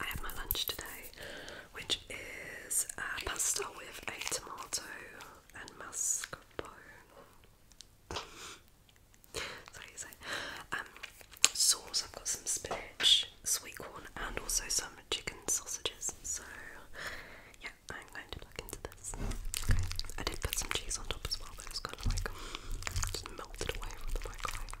I had my lunch today, which is uh, pasta with a tomato and mascarpone. Um, sauce. I've got some spinach, sweet corn, and also some chicken sausages. So, yeah, I'm going to look into this. Okay, I did put some cheese on top as well, but it was kind of like melted away from the microwave.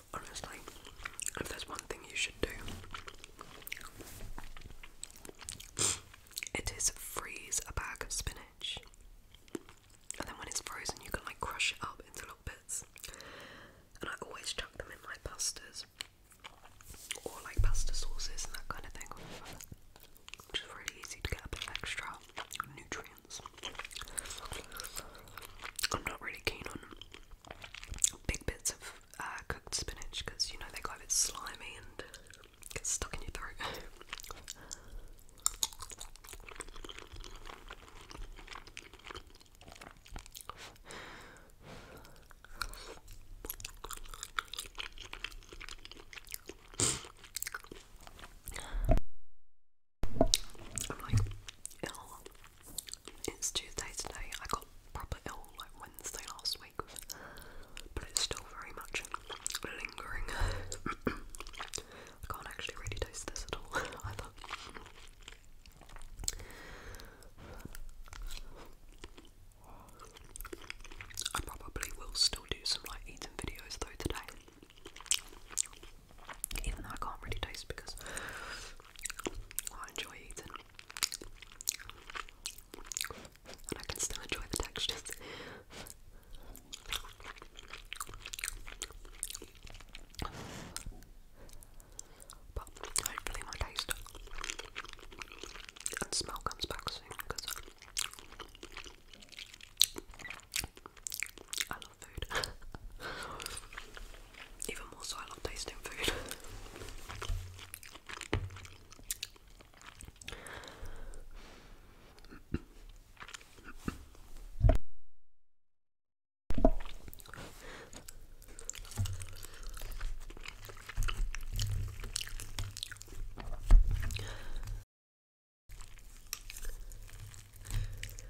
Honestly, if there's one thing you should do, it is freeze a bag of spinach. And then when it's frozen, you can like crush it up into little bits. And I always chuck them in my pastas or like pasta sauces and that kind of thing. Which really easy to get a bit of extra nutrients. I'm not really keen on big bits of uh, cooked spinach because you know they go a bit slimy and get stuck in your throat. It's Tuesday today. I got properly ill like Wednesday last week, but it's still very much lingering. I can't actually really taste this at all either. I probably will still do some like eating videos though today. Even though I can't really taste because I enjoy eating. And I can still enjoy the textures. But hopefully my taste and smell comes back soon because I love food. Even more so, I love tasting food.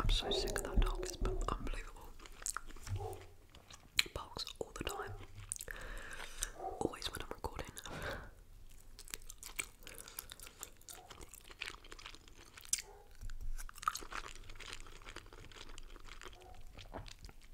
I'm so sick of that dog, it's unbelievable. Barks all the time. Always when I'm recording.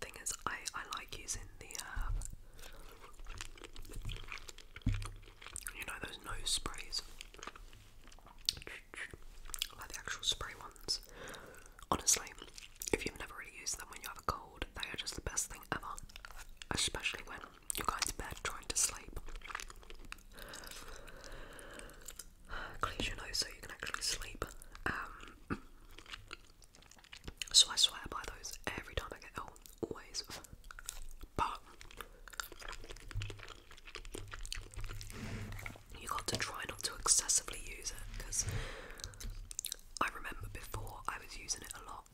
Thing is, I I like using the um, You know those nose sprays, like the actual spray ones. Honestly, if you've never really used them when you have a cold, they are just the best thing ever. Especially when you're going to bed trying to sleep. Clears your nose so you can actually sleep. Um, so I swear by those every time I get ill, always. But you got to try not to excessively use it because I remember before I was using it a lot,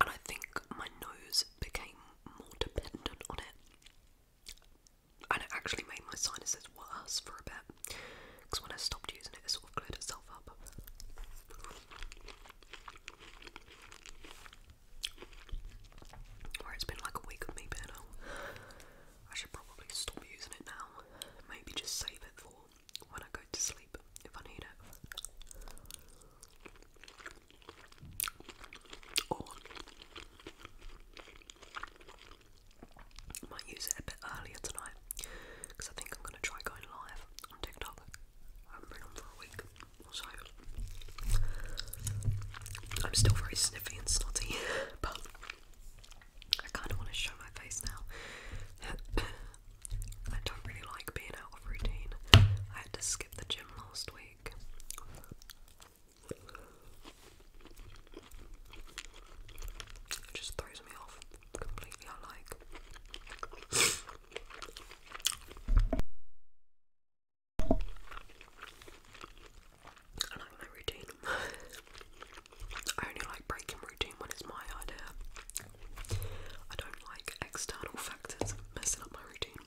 and I think my nose became more dependent on it, and it actually made my sinuses worse for a bit. Because when I stopped using it, it sort of cleared itself up. Or it's been like a week of me being I should probably stop using it now. Maybe just save it for when I go to sleep if I need it. Or might use it a bit earlier tonight because I think I'm going to try going live on TikTok. I've been on for a week or I'm still very sniffy and snotty, but I kind of want to show my face now. I don't really like being out of routine. I had to skip the gym last week. It just throws me off completely unlike. I like my routine. I only like breaking routine when it's my idea. I don't like external factors messing up my routine.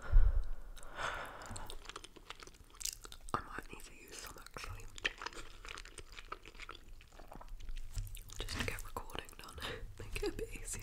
I might need to use some actually. Just to get recording done, make it a bit easier.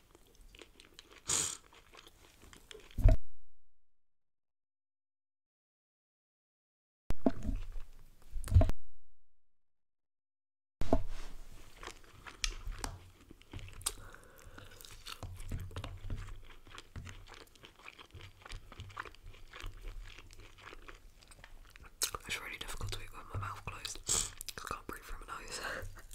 It's really difficult to eat with my mouth closed. I can't breathe through my nose.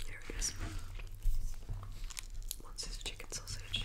There it is. What's this chicken sausage?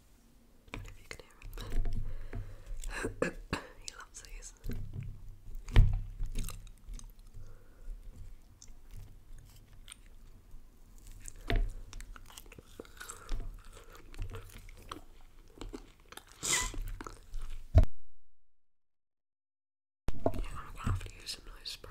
he loves these. Yeah, I'm gonna have to use some nice spray.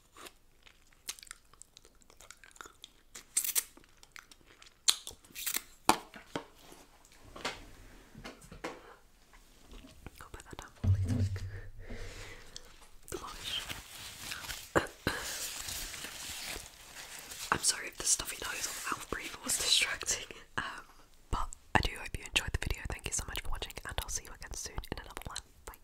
I'm sorry if the stuffy nose on mouth breathe was distracting. Um, but I do hope you enjoyed the video. Thank you so much for watching, and I'll see you again soon in another one. Bye.